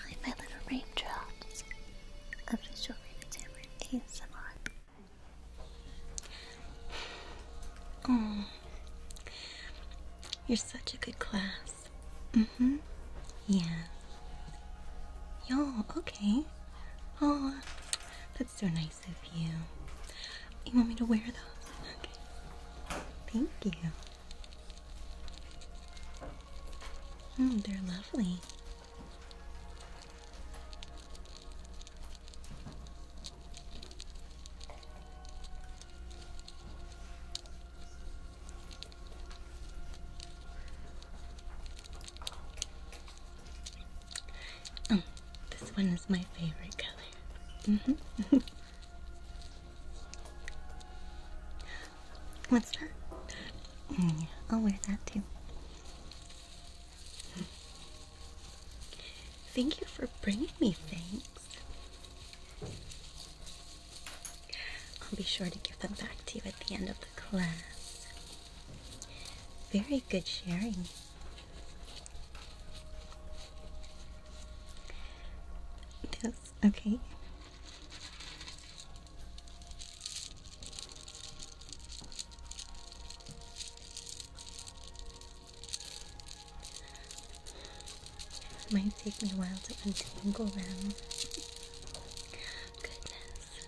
Hi, my little raindrops. Official Entertainment ASMR. Oh, you're such a good class. Mm-hmm. Yeah. Yo, okay. Oh, that's so nice of you. You want me to wear those? Okay. Thank you. Mm, they're lovely. Oh, this one is my favorite color. -hmm. What's that? Mm, I'll wear that too. Thank you for bringing me things. I'll be sure to give them back to you at the end of the class. Very good sharing. Yes. okay. It might take me a while to untangle them. Goodness.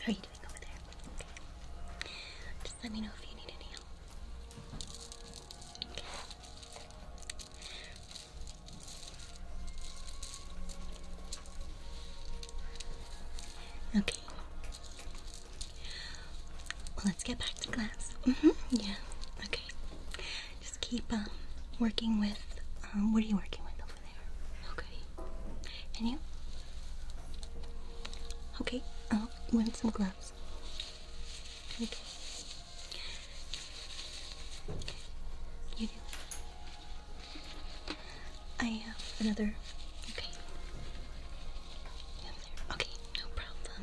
How are you doing over there? Just let me know if you need any help. Okay. Well, let's get back to class. Mm-hmm. Yeah. Okay. Just keep um, working with. Um, what are you working with over there? Okay. And you? Okay. I'll uh, win some gloves. Okay. I have uh, another. Okay. Okay, no problem.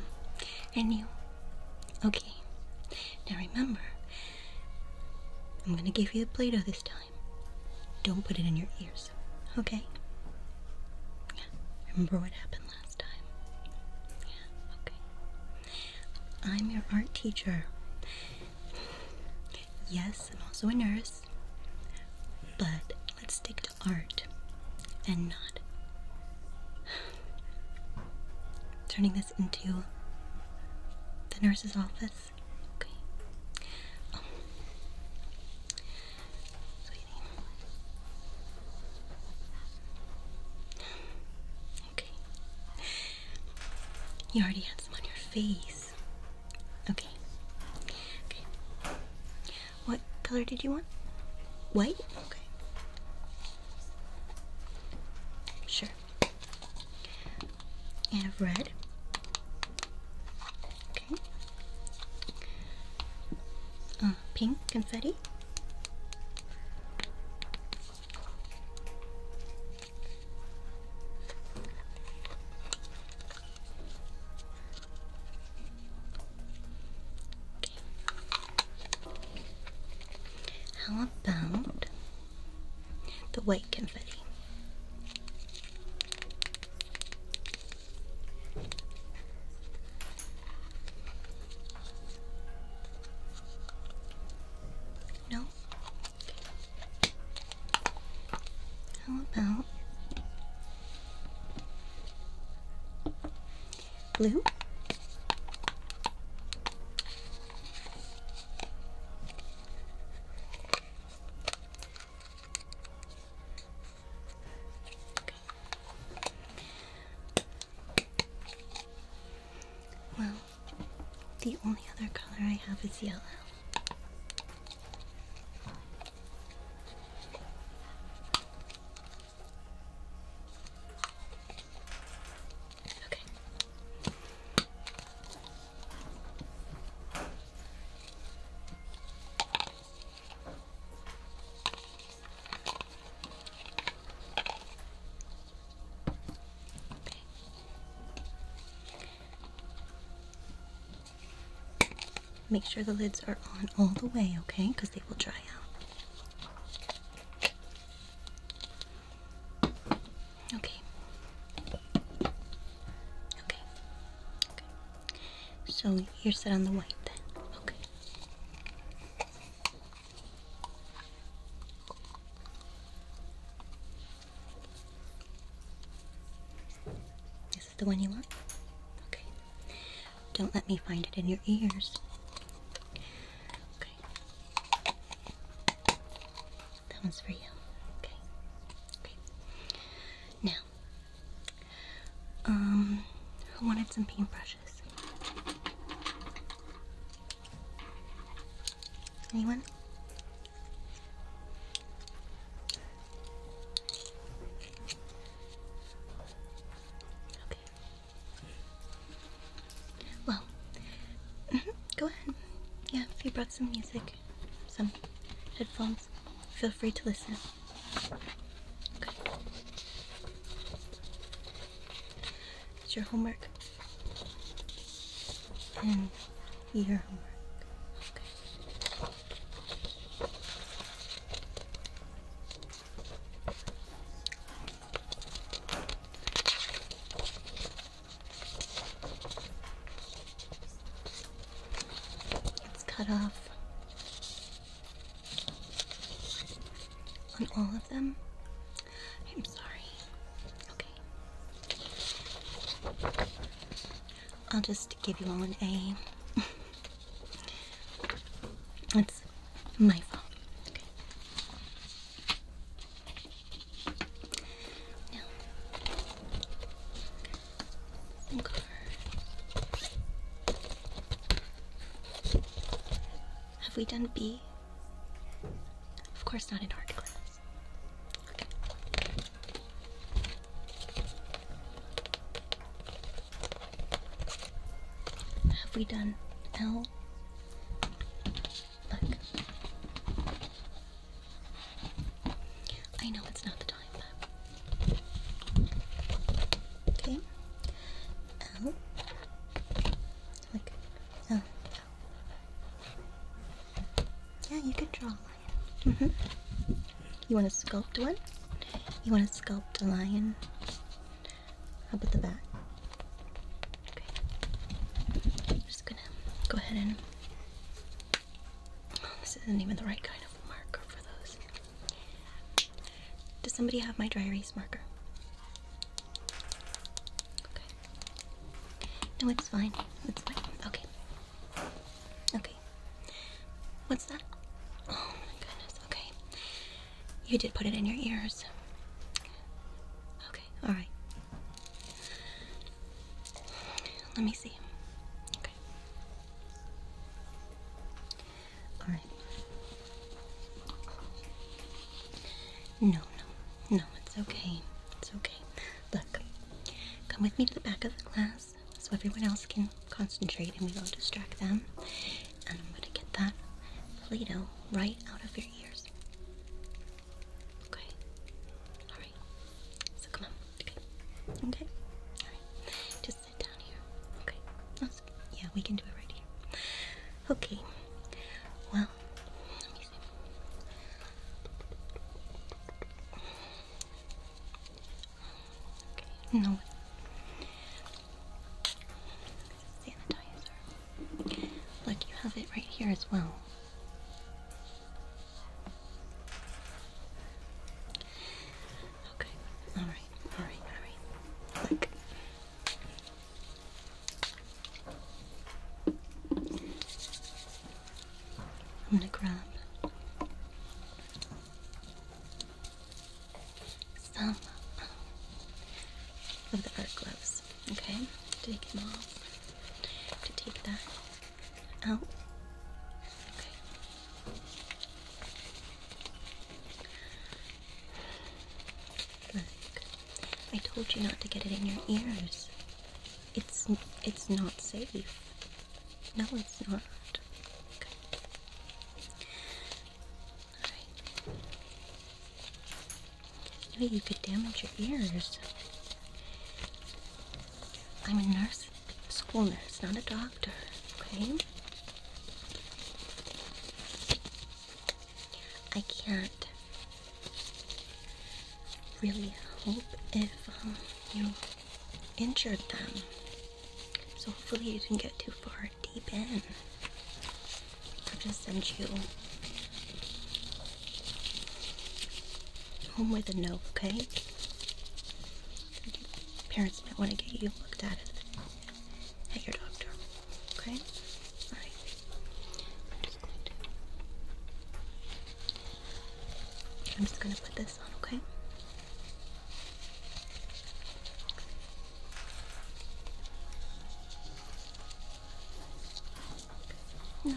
And you. Okay. Now remember, I'm gonna give you the Play Doh this time. Don't put it in your ears, okay? remember what happened last time last time? Yeah, okay. I'm your art teacher. Yes, I'm also a nurse. But let's stick to art and not turning this into the nurse's office. Okay. Oh. Okay. You already had some on your face. Okay. Okay. What color did you want? White? Okay. Sure. And have red. Okay. Uh, pink confetti. How about the white confetti? No? How about blue? Well, the only other color I have is yellow. Okay. Make sure the lids are on all the way, okay? Because they will dry out. Okay. Okay. Okay. So you're set on the white then. Okay. Is the one you want? Okay. Don't let me find it in your ears. Okay. That one's for you. Okay. Okay. Now, um, I wanted some paintbrushes. Anyone? Okay. Well, go ahead. Yeah, if you brought some music, some headphones, feel free to listen. It's your homework. And your homework. It's cut off. On all of them? I'm sorry. Okay. I'll just give you all an A. That's my fault. Okay. Now, some have we done B? Of course not in art class. Have we done L? Look. I know it's not the time, Okay. Oh. Like, oh, Yeah, you can draw a lion. Mm -hmm. You want to sculpt one? You want to sculpt a lion up at the back? Okay. I'm just gonna go ahead and. Oh, this isn't even the right kind of marker for those. Does somebody have my dry erase marker? No, it's fine. It's fine. Okay. Okay. What's that? Oh my goodness. Okay. You did put it in your ears. Okay. All right. Let me see. Okay. All right. No, no, no, it's okay. It's okay. Look, come with me to the back of the class so everyone else can concentrate and we don't distract them. And I'm going to get that Play Doh right out of your ears. Okay? Alright. So come on. Okay? Okay? Alright. Just sit down here. Okay? Yeah, we can do it right here. Okay. Well, let me see. Okay, no. Sanitizer. Look, you have it right here as well. Okay, alright, alright, alright. Look, I'm going to grab some of the art gloves, okay? Take them off. To take that out. Okay. I told you not to get it in your ears. It's it's not safe. No, it's not. Good. you could damage your ears. I'm a nurse, school nurse, not a doctor. Okay. I can't really hope if um, you injured them. So hopefully you didn't get too far deep in. I'll just send you home with a note, okay? parents might want to get you looked at at your doctor. Okay? Alright. I'm just going to. put this on, okay? No.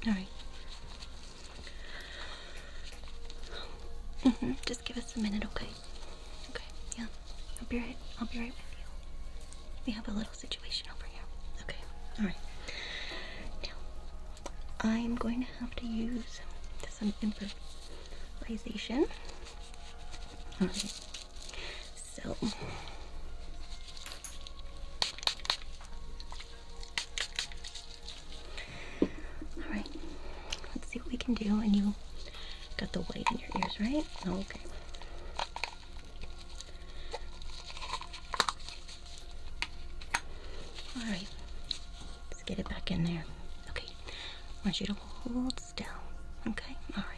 Okay. All right. -hmm. Just give us a minute, okay? Okay. Yeah. I'll be right. I'll be right with you. We have a little situation over here. Okay. All right. Now, I'm going to have to use some infrared Realization. Alright. So Alright. Let's see what we can do. And you got the white in your ears, right? Oh, okay. Alright. Let's get it back in there. Okay. I want you to hold still. Okay? All right.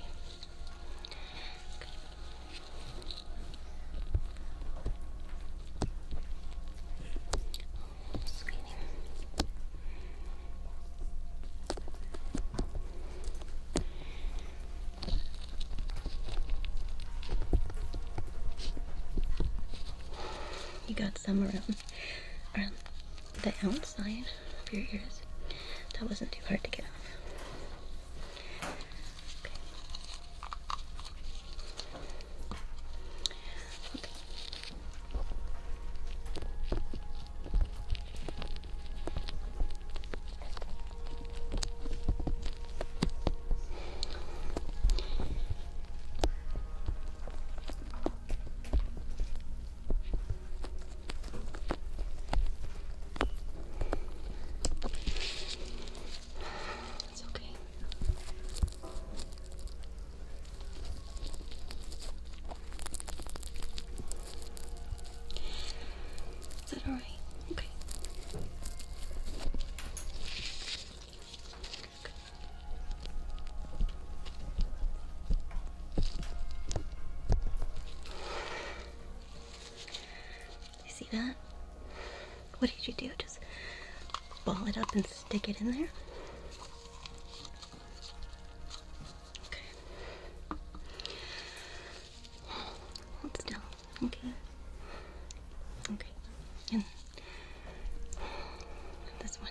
You got some around the outside of your ears. That wasn't too hard to get off. It's okay. Is that all right? Okay. Good. You see that? What did you do? Just ball it up and stick it in there? Okay. Hold still. Okay. Okay. And this one.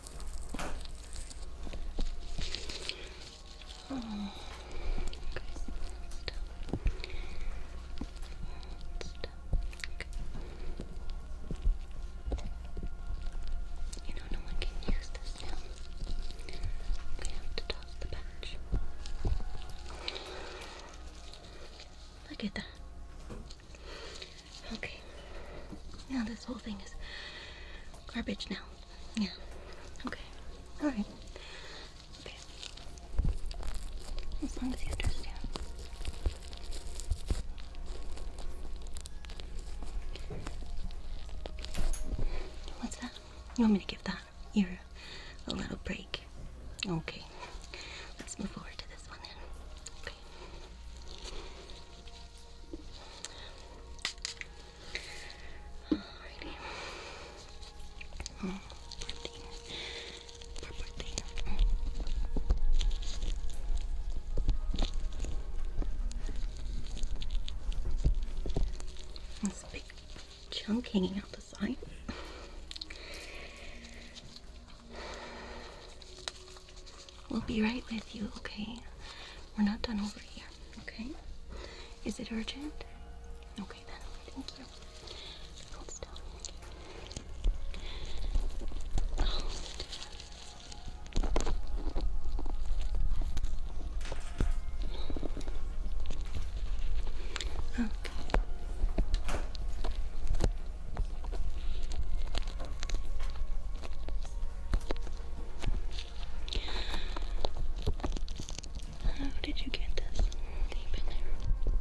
You know, no one can use this now. We have to toss the patch. Look at that. Okay. Now this whole thing is garbage now. Yeah. Okay. All right. Okay. As long as you understand. What's that? You want me to give that ear a little break? Okay. Let's move forward to this one then. Okay. This big chunk hanging out the side. We'll be right with you, okay? We're not done over here, okay? Is it urgent? Okay then, thank you. Hold still. Oh, Okay. How did you get this deep in there?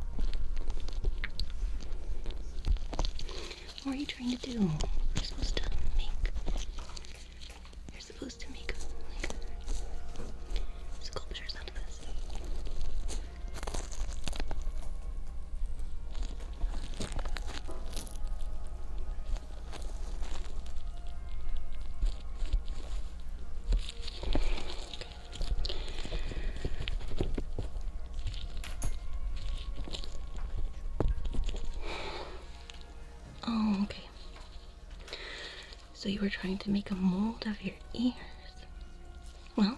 What are you trying to do? We're supposed to make. You're supposed to make sculptures out of this. Oh, okay. So you were trying to make a mold of your ears. Well,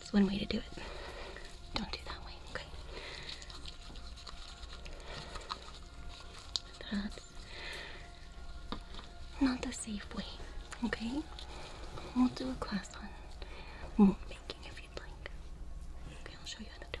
it's one way to do it. Don't do that way, okay? That's not the safe way, okay? We'll do a class on mold making if you'd like. Okay, I'll show you how to do it.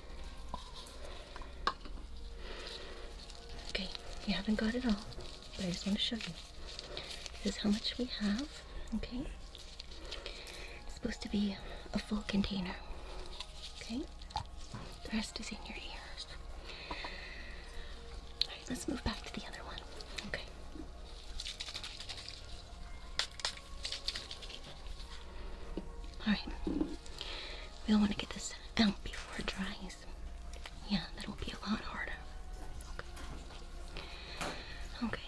Okay, you haven't got it all, but I just want to show you. This is how much we have, okay? It's supposed to be a full container, okay? The rest is in your ears. Alright, let's move back to the other one, okay? Alright. We'll want to get this out before it dries. Yeah, that'll be a lot harder. Okay. okay.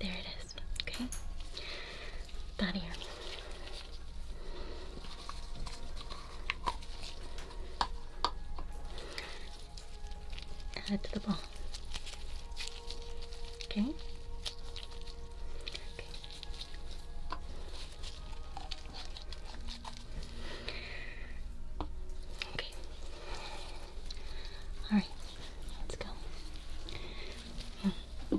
There it is, okay? That here. Add to the ball. Okay. okay. Okay. All right. Let's go. Yeah.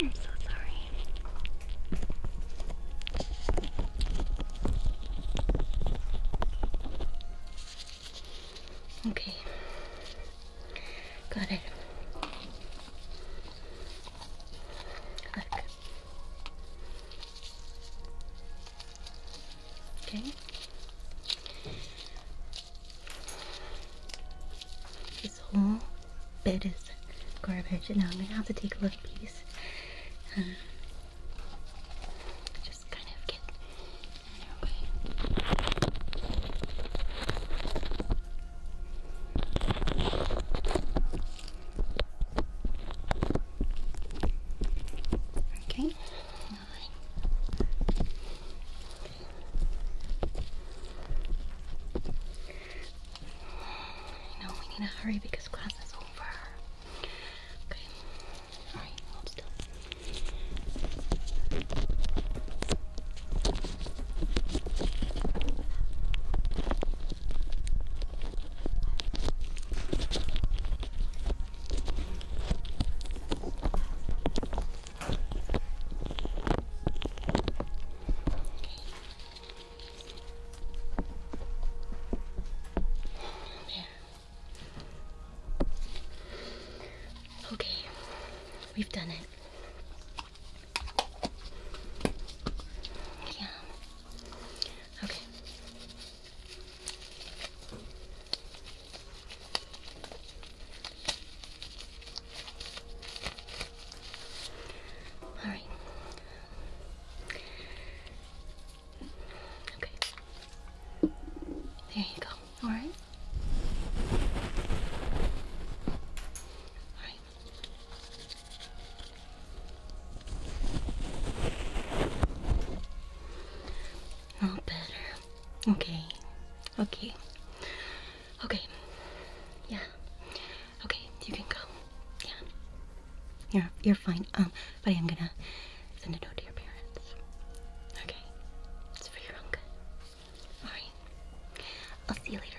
I'm so sorry. Okay. Got it. Okay this whole bed is garbage. And now I'm gonna have to take a look at these. just kind of get Okay. I know we need to hurry because class is over. Okay. Alright, hold still. Okay. There. Okay, we've done it. Yeah. Okay. All right. Okay. There you go. All right. All right. All better. Okay. Okay. Okay. Yeah. Okay, you can go. Yeah. You're you're fine. Um, but I am gonna send a note to your parents. Okay. It's for your uncle. Alright. I'll see you later.